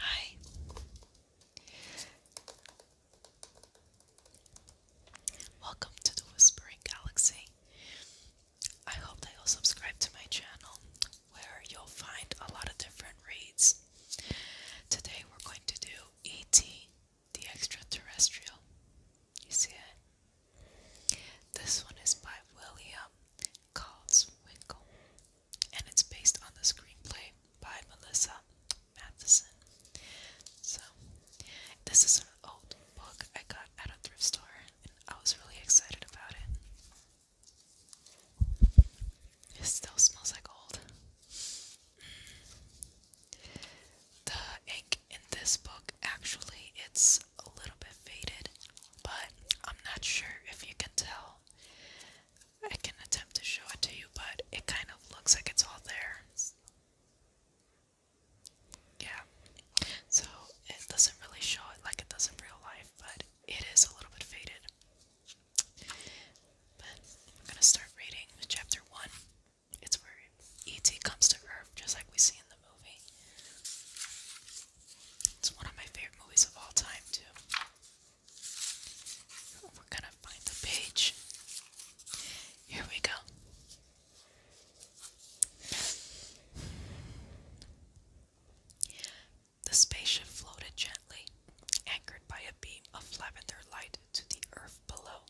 Hi. Welcome to the Whispering Galaxy. I hope that you'll subscribe to my channel where you'll find a lot of different reads. Today we're going to do E.T. the Extraterrestrial. You see it? This one is by William Caldeswinkle and it's based on the screenplay by Melissa Matheson. So, this is an old book I got at a thrift store, and I was really excited about it. It still smells like old. The ink in this book actually it's a little bit faded, but I'm not sure if you can tell I can attempt to show it to you, but it kind of looks like it's all there. Yeah. So it doesn't really show it like it does in real life, but it is a little bit faded. But I'm gonna start reading chapter one. It's where E.T. comes to Earth, just like we see in the movie. It's one of my favorite movies of all time, too. We're gonna find the page. Here we go. The spaceship floated gently, anchored by a beam of lavender light to the earth below.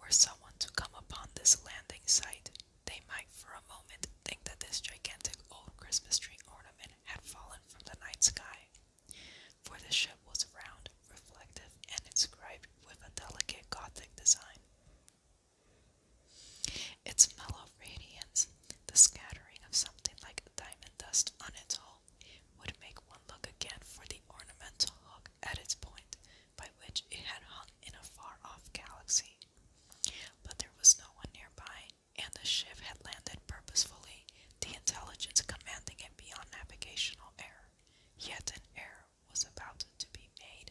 Were someone to come upon this landing site, they might for a moment think that this gigantic old Christmas tree ornament had fallen from the night sky, for the ship was round, reflective, and inscribed with a delicate Gothic design. Its mellow radiance, the scattering of something like diamond dust on its hull, would make one look again for the ornamental hook at its point by which it had hung in a far off galaxy. But there was no one nearby, and the ship had landed purposefully, the intelligence commanding it beyond navigational error. Yet an error was about to be made.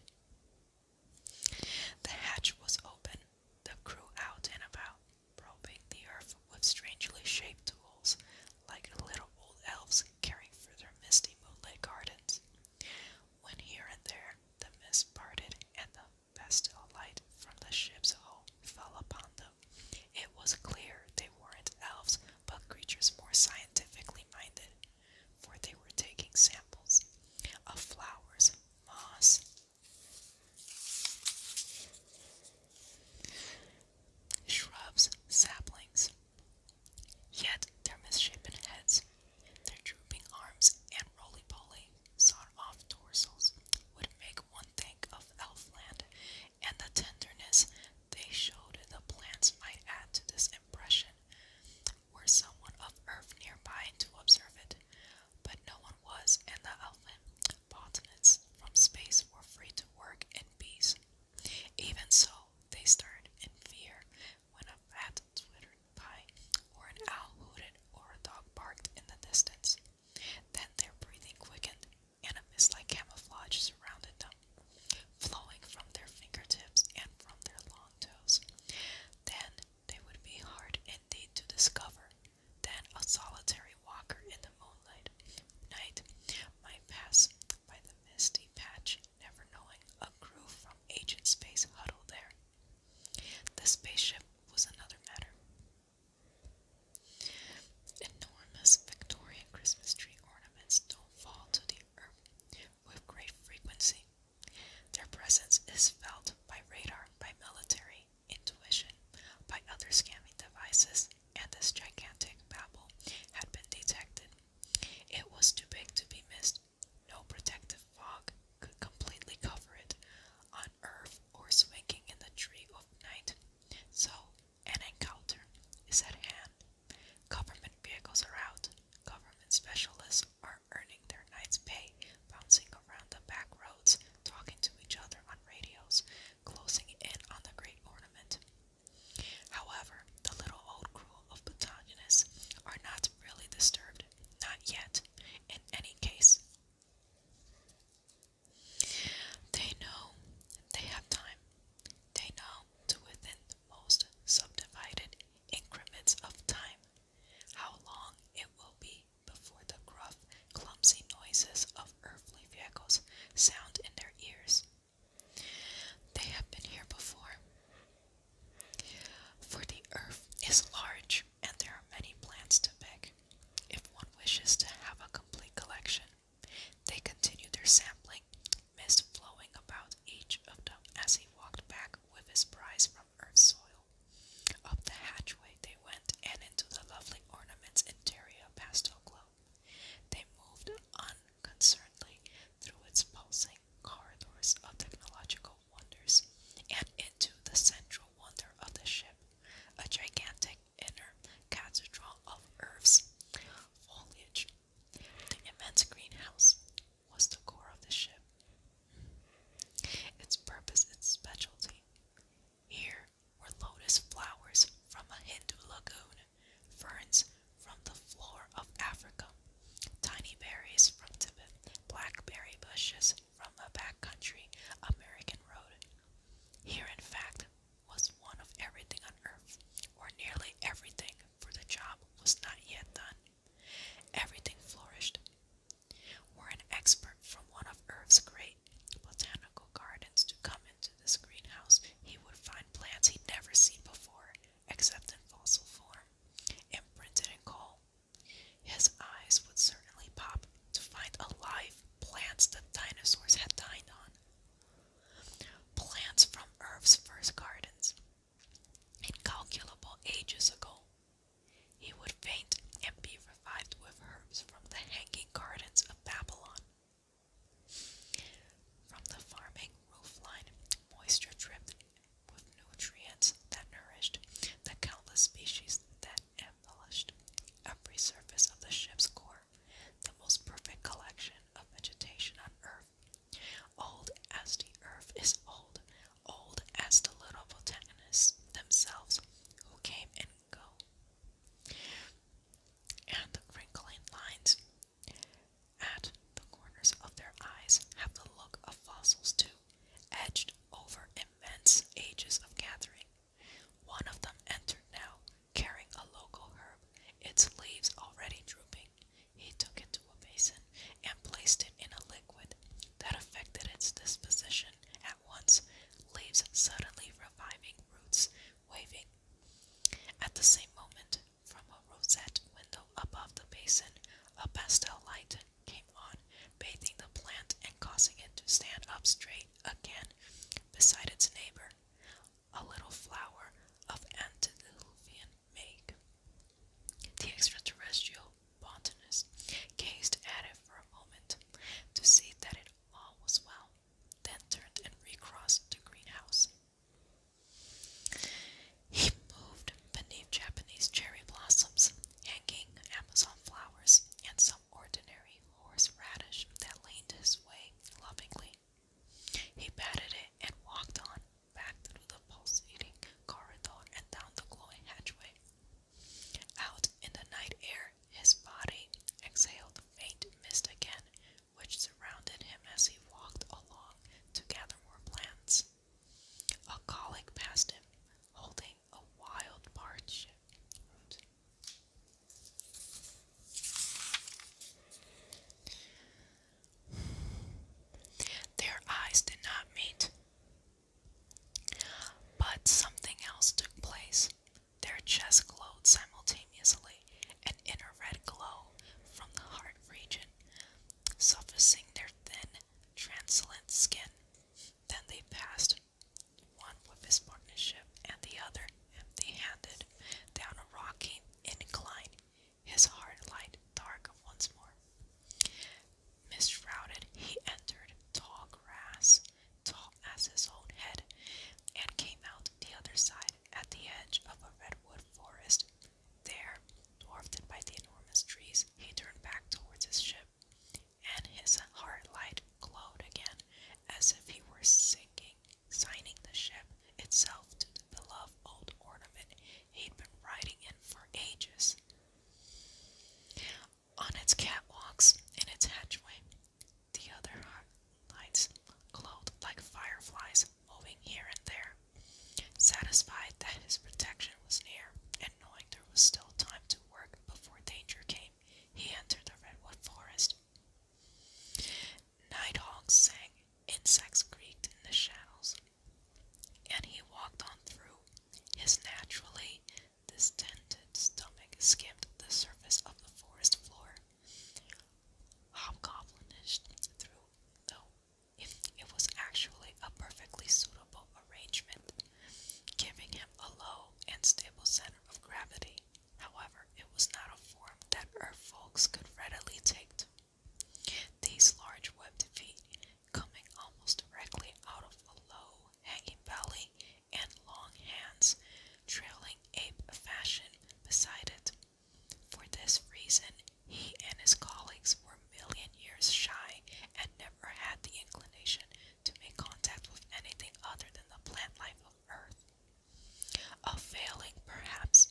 The hatch was open, the crew out and about, probing the earth with strangely shaped tools, like little old elves caring for their misty moonlit gardens. When here and there the mist parted and the pastel light from the ship's hull fell upon them. It was clear they weren't elves, but creatures more scientifically minded, for they were taking samples of flowers, moss, shrubs, saplings. Yet their misshapen heads, their drooping arms, and roly poly cut-off dorsals would make one think of elfland, and the tenderness they showed in the plants might add to this impression, were someone of earth nearby to observe it. But no one was, and the elfin botanists from space were free to work in peace. Even so, they stared in fear when a bat twittered by, or an owl hooted, or a dog barked in the distance. Then their breathing quickened, and a mist like camouflage surrounded them, flowing from their fingertips and from their long toes. Then they would be hard indeed to discover. Then a solitary walker in the moonlight night might pass by the misty patch, never knowing a crew from ancient space huddled there. The spaceship was another matter. Enormous Victorian Christmas tree ornaments don't fall to the earth with great frequency. Their presence is felt by radar, by military intuition, by other scanning devices, and this gigantic babel had been detected. It was too big to be missed. No protective fog could completely cover it, on earth or swinging in the tree of night. So, an encounter is at hand. Government vehicles are out. Government specialists are earning their night's pay, bouncing around the back roads, talking to each other on radios, closing in on the great ornament. However, the little old crew of battalionists are not really disturbed, not yet. In any case, they know they have time. They know to within the most subdivided increments of time how long it will be before the gruff, clumsy noises of earthly vehicles sound in their ears. They have been here before. For the earth is large, and there are many plants to pick. If one wishes to have a complete collection, they continued their sampling, mist flowing about each of them as he walked back with his prize from Earth's soil. Up the hatchway they went and into the lovely ornaments interior pastel glow. They moved unconcernedly through its pulsing corridors of technological wonders, and into the central wonder of the ship, a gigantic inner cathedral of Earth's foliage. The immense greenhouse was the core of the ship. Its purpose, its specialty. Here were lotus flowers from a Hindu lagoon, ferns from the floor of Africa, tiny berries from Tibet, blackberry bushes from the country American road. Here, in fact, was one of everything on earth, or nearly everything, for the job was not yet done. Everything flourished. Were an expert from one of Earth's great botanical gardens to come into this greenhouse, he would find plants he'd never seen before, except in fossil form, imprinted in coal, his eyes would certainly pop to find alive plants that dinosaurs had dined on. Plants from Earth's first gardens, incalculable ages ago. He would faint and be revived with herbs from the hanging gardens of Babylon. From the farming roofline, moisture dripped with nutrients that nourished the countless species that demolished every surface of the ship's core, the most perfect collection of vegetation on Earth. Old as the Earth is old, old as the little botanists themselves who came and go. And wrinkling lines at the corners of their eyes have the look of fossils too edged over immense ages of gathering. One of them entered now, carrying a local herb, its leaves already drooping. He took it to a basin and placed it in a liquid that affected its disposition at once, leaves suddenly reviving, roots waving. At the same moment, from a rosette window above the basin, a pastel light came on, bathing the plant and causing it to stand up straight again beside its neighbor, a little flower of antediluvian make. The extraterrestrial botanist gazed at it for a moment to see that it all was well, then turned and recrossed the greenhouse. He moved beneath Japanese cherry blossoms, hanging Amazon Flowers and some ordinary horseradish that leaned his way lovingly. He patted it and walked on, back through the pulsating corridor and down the glowing hatchway. Out in the night air, his body exhaled the faint mist again, which surrounded him as he walked along to gather more plants. A colleague passed him, holding a wild hardship. Their eyes did not meet, but something else took place. Their chests glowed simultaneously, an inner red glow from the heart region, suffusing their thin, translucent skin. Then they passed one with his partnership and the other empty handed, down a rocky incline, his heart light dark once more. mist-shrouded, he entered tall grass, tall as his own head, and came out the other side at the edge of a redwood forest. There, dwarfed by the enormous trees, he turned back towards his ship and his hard light glowed again as if he were sinking, signing the ship itself to the beloved old ornament he'd been riding in for ages. On its catwalks and its hatchway, the other lights glowed like fireflies moving here and there. Satisfied that his protection was near, and knowing there was still time to work before danger came, he entered the redwood forest. Night hawks sang, insects creaked in the shadows, and he walked on through. His naturally distended stomach skimmed the surface of the forest floor. Hobgoblinish through, though it was actually a perfectly suitable arrangement giving him a low and stable center of gravity. However, it was not a form that Earth folks could readily take These large webbed feet, coming almost directly out of a low hanging belly and long hands, trailing ape fashion beside it. For this reason, he and his colleagues were million years shy and never had the inclination to make contact with anything other than the plant life of Earth. A failing, perhaps,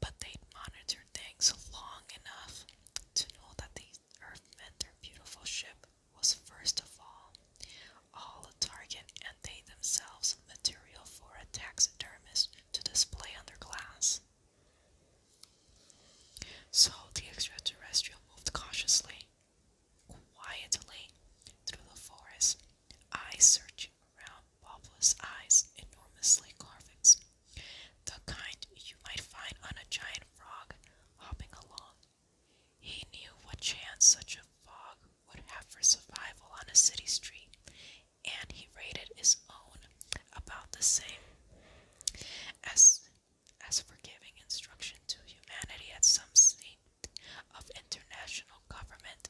but they'd monitored things long enough to know that the Earth meant their beautiful ship was first of all, all a target, and they themselves material for a taxidermist to display under glass. So the extraterrestrial moved cautiously, quietly, through the forest, eyes searching around bulbous eyes, enormously carvings, the kind you might find on a giant frog hopping along. He knew what chance such a frog would have for survival on a city street, and he rated his own about the same. As as for giving instruction to humanity at some state of international government,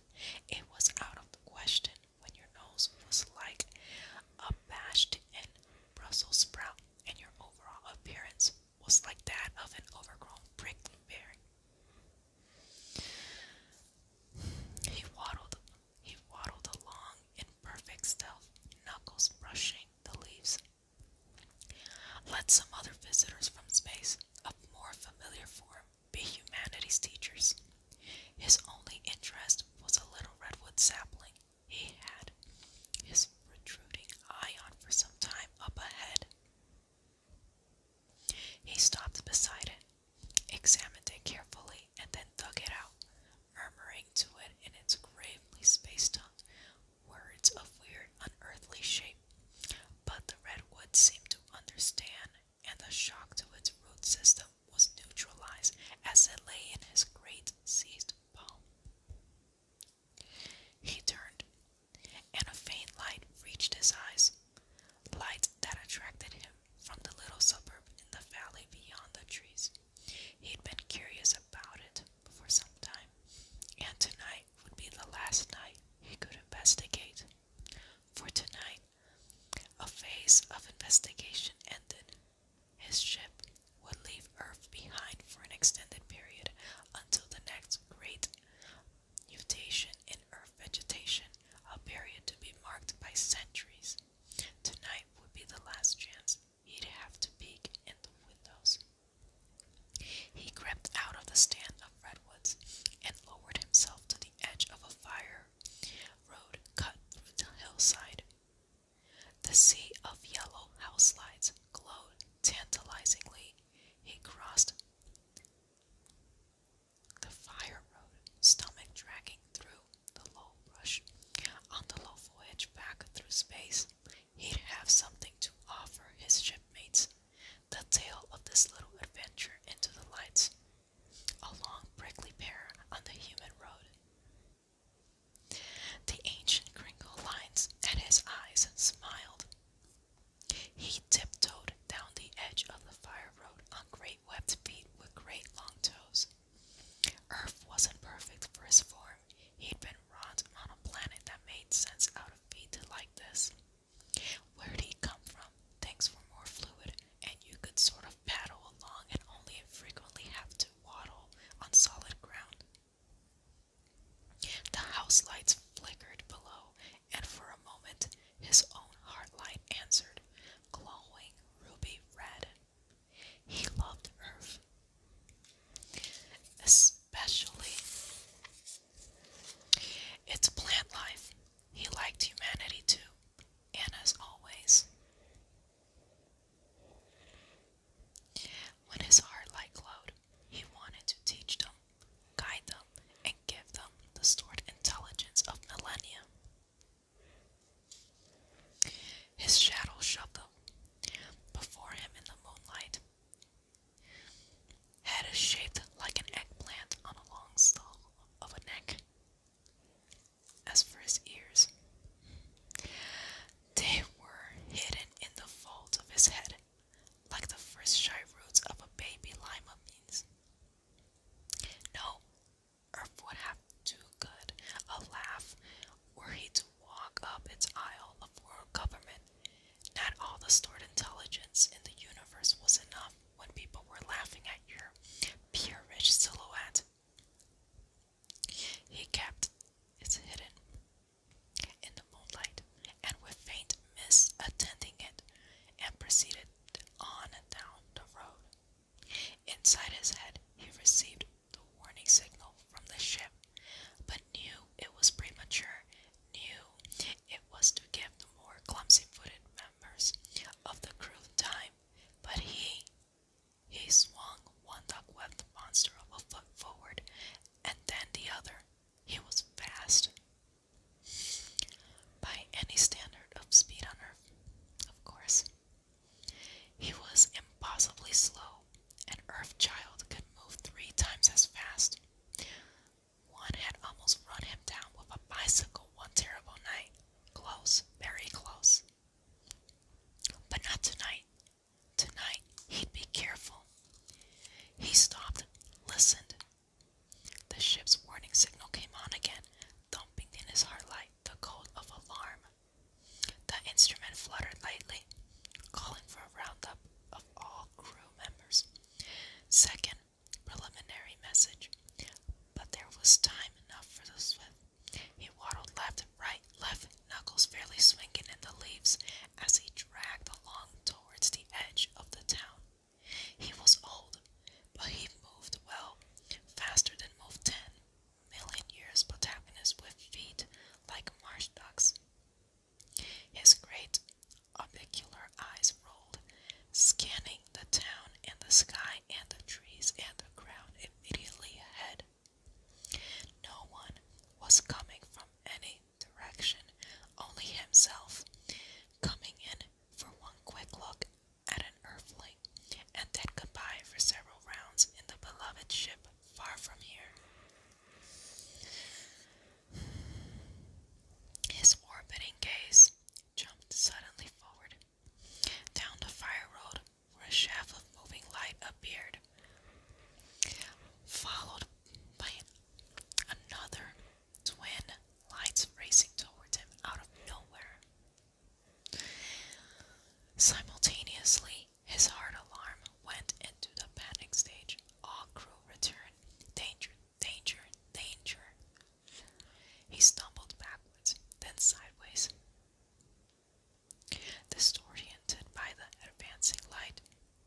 it was out of the question when your nose was like a bashed in Brussels sprout and your overall appearance was like that of an overgrown brickberry. He waddled he waddled along in perfect stealth, knuckles brushing the leaves let some other visitors from space of more familiar form be humanity's teachers. His only interest was a little redwood sapling he had his protruding eye on for some time up ahead. He stopped beside it, examined it carefully, and then dug it out, murmuring to it in its gravely spaced tongue words of weird, unearthly shape. But the redwood seemed to understand, and the shock to its root system was neutralized as it lay in his great seized palm. He turned, and a faint light reached his eyes, light that attracted him from the little suburb in the valley beyond the trees. He'd been curious about it for some time, and tonight would be the last night he could investigate. For tonight, a phase of investigation ended. His ship would leave Earth behind for an extended period until the next great mutation in Earth vegetation, a period to be marked by centuries. Tonight would be the last chance He'd have to peek in the windows. He crept out of the stand of redwoods and lowered himself to the edge of a fire road cut through the hillside. The sea of yellow house lights glowed tantalizingly. He crossed the fire road, stomach dragging through the low brush on the low voyage back through space he'd have something to offer his shipmates. The tale of this little adventure into the lights, a long prickly pear on the human road. The ancient Kringle lines at his eyes and smiled. He tiptoed down the edge of the fire road on great webbed feet with great long toes. Earth wasn't perfect for his form. He'd been wrought on a planet that made sense out of feet like this. Where'd he come from? Things were more fluid, and you could sort of paddle along and only infrequently have to waddle on solid ground. The house lights flickered below, and for a moment his own heart light answered, glowing ruby red. He loved Earth, especially its plant life. He liked humanity too, and as always, when his heart light glowed, he wanted to teach them, guide them, and give them the stored intelligence of millennia. His shadow shuffled before him in the moonlight. Head is shaped like an eggplant on a long skull of a neck. As for his ears, they were hidden in the folds of his head, like the first shy roots of a baby lima beans. No, Earth would have too good a laugh were he to walk up its aisle of world government. Not all the stored intelligence in the universe was enough when people were laughing at your peerish silhouette. He kept it hidden in the moonlight and with faint mist attending it, and proceeded on down the road. Inside his head, he received the warning signal from the ship, but knew it was premature, knew it was to give the more clumsy-footed members of the crew time, but he, he swung one duck-webbed monster of a foot forward, and then the other. He was fast. By any standard of speed on Earth, of course. He was impossibly slow. An Earth Child could move three times as fast. One had almost run him down with a bicycle one terrible night. Close, very close. But not tonight. Tonight, he'd be careful. He stopped, listened. The ship's warning signal came on again, thumping in his heart like the code of alarm. The instrument fluttered lightly, calling for a roundup of all crew members. Second, preliminary message. But there was time enough for the swift. He waddled left, right, left, knuckles fairly swinging in the leaves as he dragged along towards the edge of the town. He was old, but he moved well, faster than moved ten million years protagonist with feet like marsh ducks. His great orbicular eyes rolled, scanning the town and the sky and the trees and the ground immediately ahead. No one was coming from any direction, only himself, coming in for one quick look at an earthling and then goodbye for several rounds in the beloved ship far from here. His orbiting gaze jumped suddenly forward, down the fire road where a shaft of moving light appeared, followed by another twin lights racing towards him out of nowhere. Simultaneously, his heart alarm went into the panic stage. All crew returned. Danger, danger, danger. He stumbled backwards, then sideways. Disoriented by the advancing light,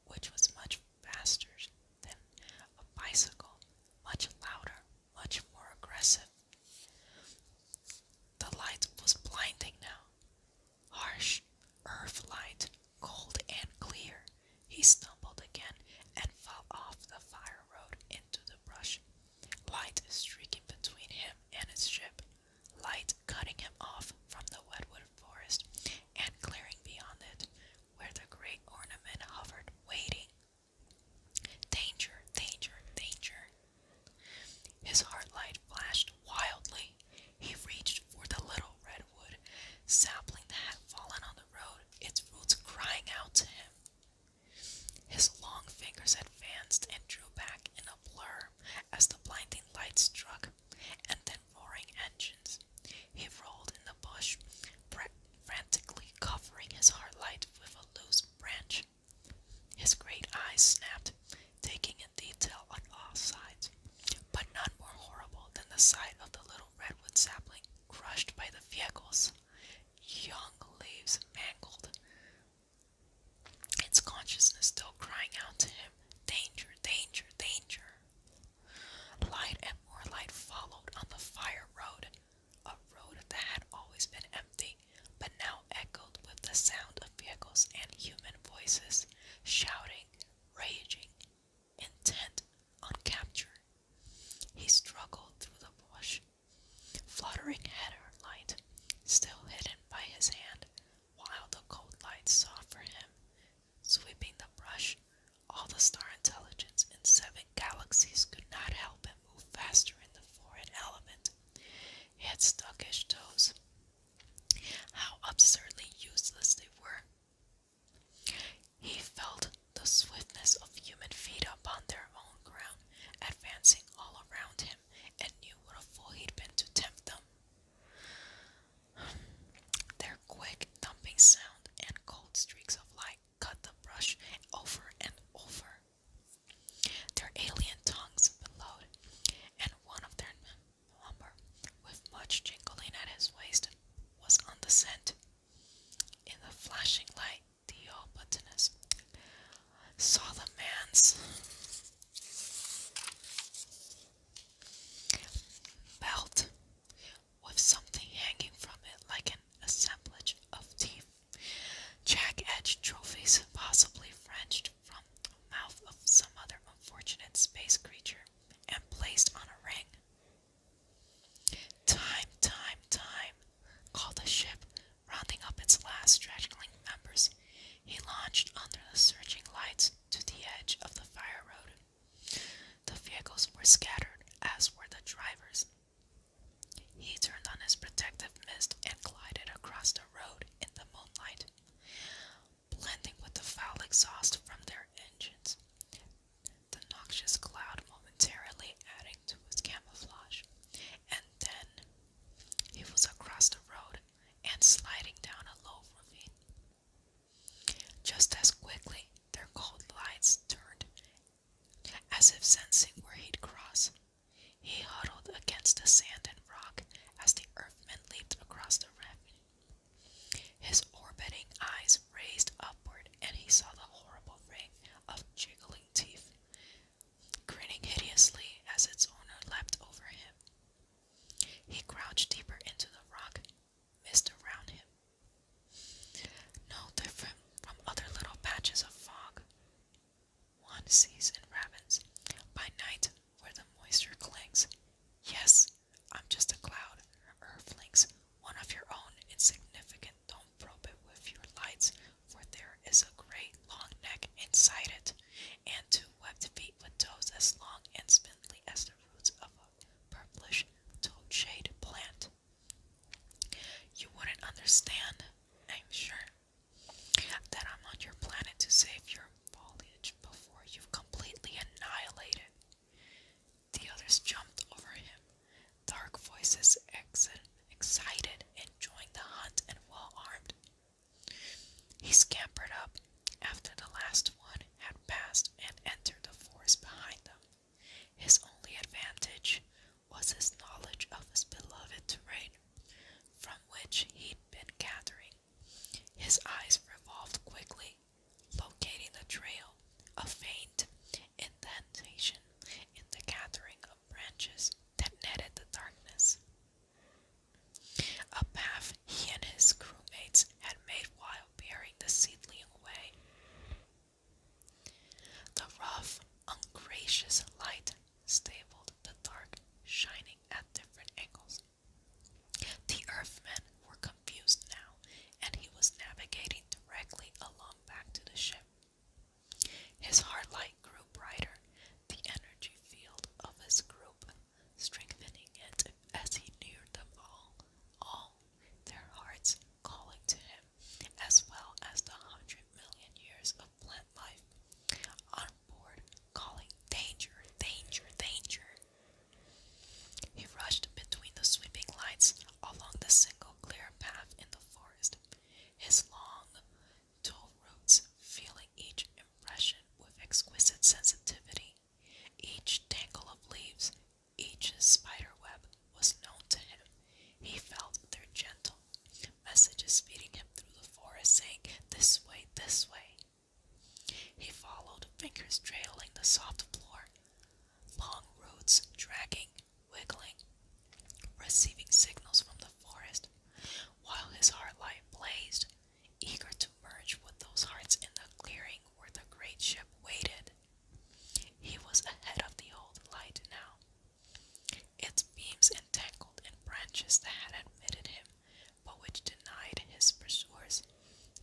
which was much faster than a bicycle, much louder, much more aggressive. The light was blinding now harsh earth cold and clear. He stumbled again and fell off the fire road into the brush. Light streaking between him and his ship, light cutting him off from the wetwood forest and clearing beyond it, where the great ornament hovered, waiting. Danger, danger, danger. His heart light flashed wildly. He reached for the little redwood sapling that had fallen on the road, its roots crying out to him. His long fingers advanced and drew back in a blur as the blinding light struck, and then roaring engines. He rolled in the bush, frantically covering his heart light with a loose branch. His great eyes snapped, taking in detail on all sides, but none more horrible than the sight of the little redwood sapling crushed by the vehicles, young leaves mangled, its consciousness still crying out to him, Danger, danger, danger. Light and more light followed on the fire road, a road that had always been empty but now echoed with the sound of vehicles and human voices shouting, raging, intent on capture. He struggled through the brush, Fluttering had her light, still hidden by his hand, while the cold light saw for him, sweeping the brush, all the star intelligence in seven galaxies could not help him move faster in the foreign element. His had toes how absurdly useless they were. He felt the swiftness of human feet upon their own ground, advancing all around him, and knew what a fool he'd been to tempt them. Their quick, thumping sound and cold streaks of light cut the brush over and over. Their alien tongues billowed, and one of their number, with much jingling at his waist, was on the scent. In the flashing light, the all Theobotanus saw the man's belt with something hanging from it like an assemblage of teeth. Jack edged trophies, possibly French from the mouth of some other unfortunate space creature and placed on a ring. Time, time, time, called the ship, rounding up its last straggling members. He launched under the searching lights to the edge of the fire road. The vehicles were scattered, as were the drivers. He turned on his protective mist and glided across the road in the moonlight blending with the foul exhaust from their engines. The noxious cloud momentarily adding to his camouflage. And then he was across the road and sliding down a low ravine. Just as quickly, their cold lights turned, as if sensing where he'd cross. He huddled against the sand and rock as the earthman leaped across the rim. His orbiting eyes raised upward, and he saw the horrible ring of jiggling teeth, grinning hideously as its owner leaped over him. He crouched deeper into the rock, mist around him. No different from other little patches of fog, one sees in rabbits by night where the moisture clings. Yes, I'm just a cloud, earthlings, one of your own, insignificant. Don't probe it with your lights, for there is a great long neck inside it, and two webbed feet with toes as long and spindly as the roots of a purplish toadshade plant. You wouldn't understand, I'm sure, that I'm on your planet to save your foliage before you've completely annihilated. The others jumped over him, dark voices ex excited, enjoying the hunt and well armed. He scampered up after the last one had passed and entered the forest behind them. His only advantage was his knowledge of his beloved terrain, from which he been gathering. His eyes revolved quickly, locating the trail, a faint indentation in the gathering of branches that netted the darkness. A path he and his crewmates had made while bearing the seedling away. The rough, ungracious light stabled the dark, shining at different angles. The Earthmen were confused now, and he was navigating directly along back to the ship. His hard light grew brighter, the energy field of his group strengthening it as he neared them all, all their hearts calling to him, as well as the hundred million years of plant life on calling danger, danger, danger. He rushed between the sweeping lights along the single clear path in the forest, his long, dull roots feeling each impression with exquisite sensitivity. Each tangle of leaves, each spider web was known to him. He felt their gentle Messages speeding him through the forest, saying, This way, this way. He followed, fingers trailing the soft floor. Long roads dragging, wiggling, receiving signals from the forest, while his heart light blazed, eager to merge with those hearts in the clearing where the great ship waited. He was ahead of the old light now, its beams entangled in branches that had admitted him but which denied his pursuers.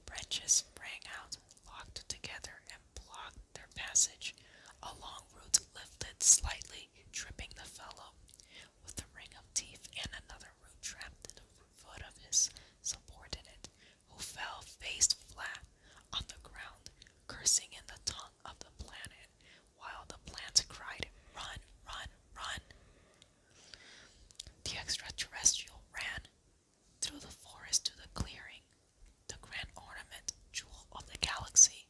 Branches sprang out, locked together, and blocked their passage. A long root lifted slightly, tripping the fellow with a ring of teeth, and another root trapped in the foot of his subordinate, who fell face flat on the ground, cursing in the tongue of the planet while the plants cried, Run, run, run! The extraterrestrial ran through the forest to the clearing. The grand ornament, jewel of the galaxy,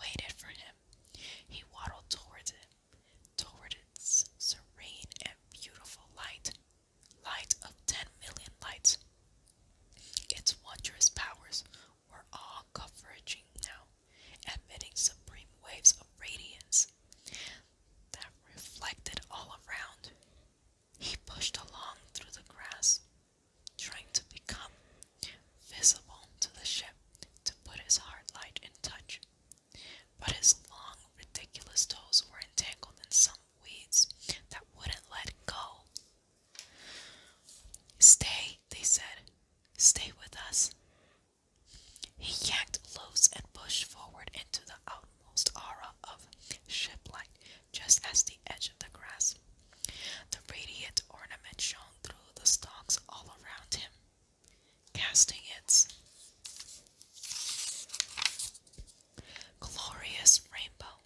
waited for him. He waddled towards it, towards its serene and beautiful light, light of ten million lights. Its wondrous powers were all converging now emitting supreme waves of radiance that reflected all around. He pushed along through the grass, trying to become visible to the ship to put his heart light in touch. But his long, ridiculous toes were entangled in some weeds that wouldn't let go. Stay, they said. Stay with us. He yanked loose and pushed forward into the outmost aura of shiplight, just as the edge of the grass. The radiant ornament shone through the stalks all around him, casting its glorious rainbow.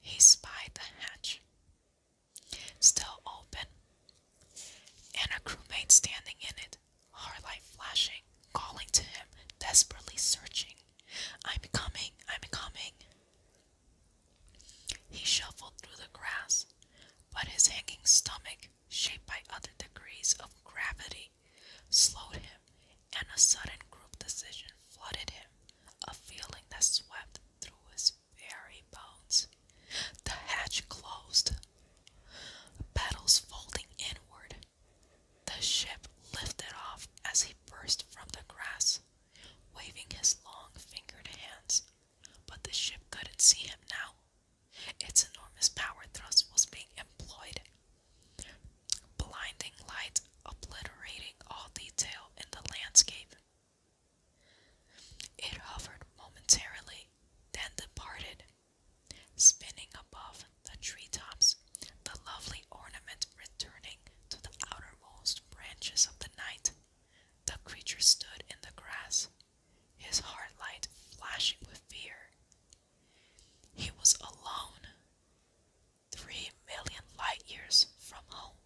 He spied the hatch, Still open, and a crewmate standing in it, heartlight flashing, calling to him, desperately searching. I'm coming, I'm coming. He shuffled through the grass, but his hanging stomach, shaped by other degrees of gravity, slowed him, and a sudden group decision flooded him, a feeling that swept through his very bones. The hatch closed, paddles folding inward. The ship lifted off as he burst from the grass, waving his long fingered hands. But the ship couldn't see him now. Its enormous power thrust was being employed. Blinding light obliterating all detail in the landscape. It hovered momentarily, then departed, spinning above the treetops, the lovely ornament returning to the outermost branches of the night. The creature stood in the grass, his heart light flashing with fear. He was alone, three million light years from home.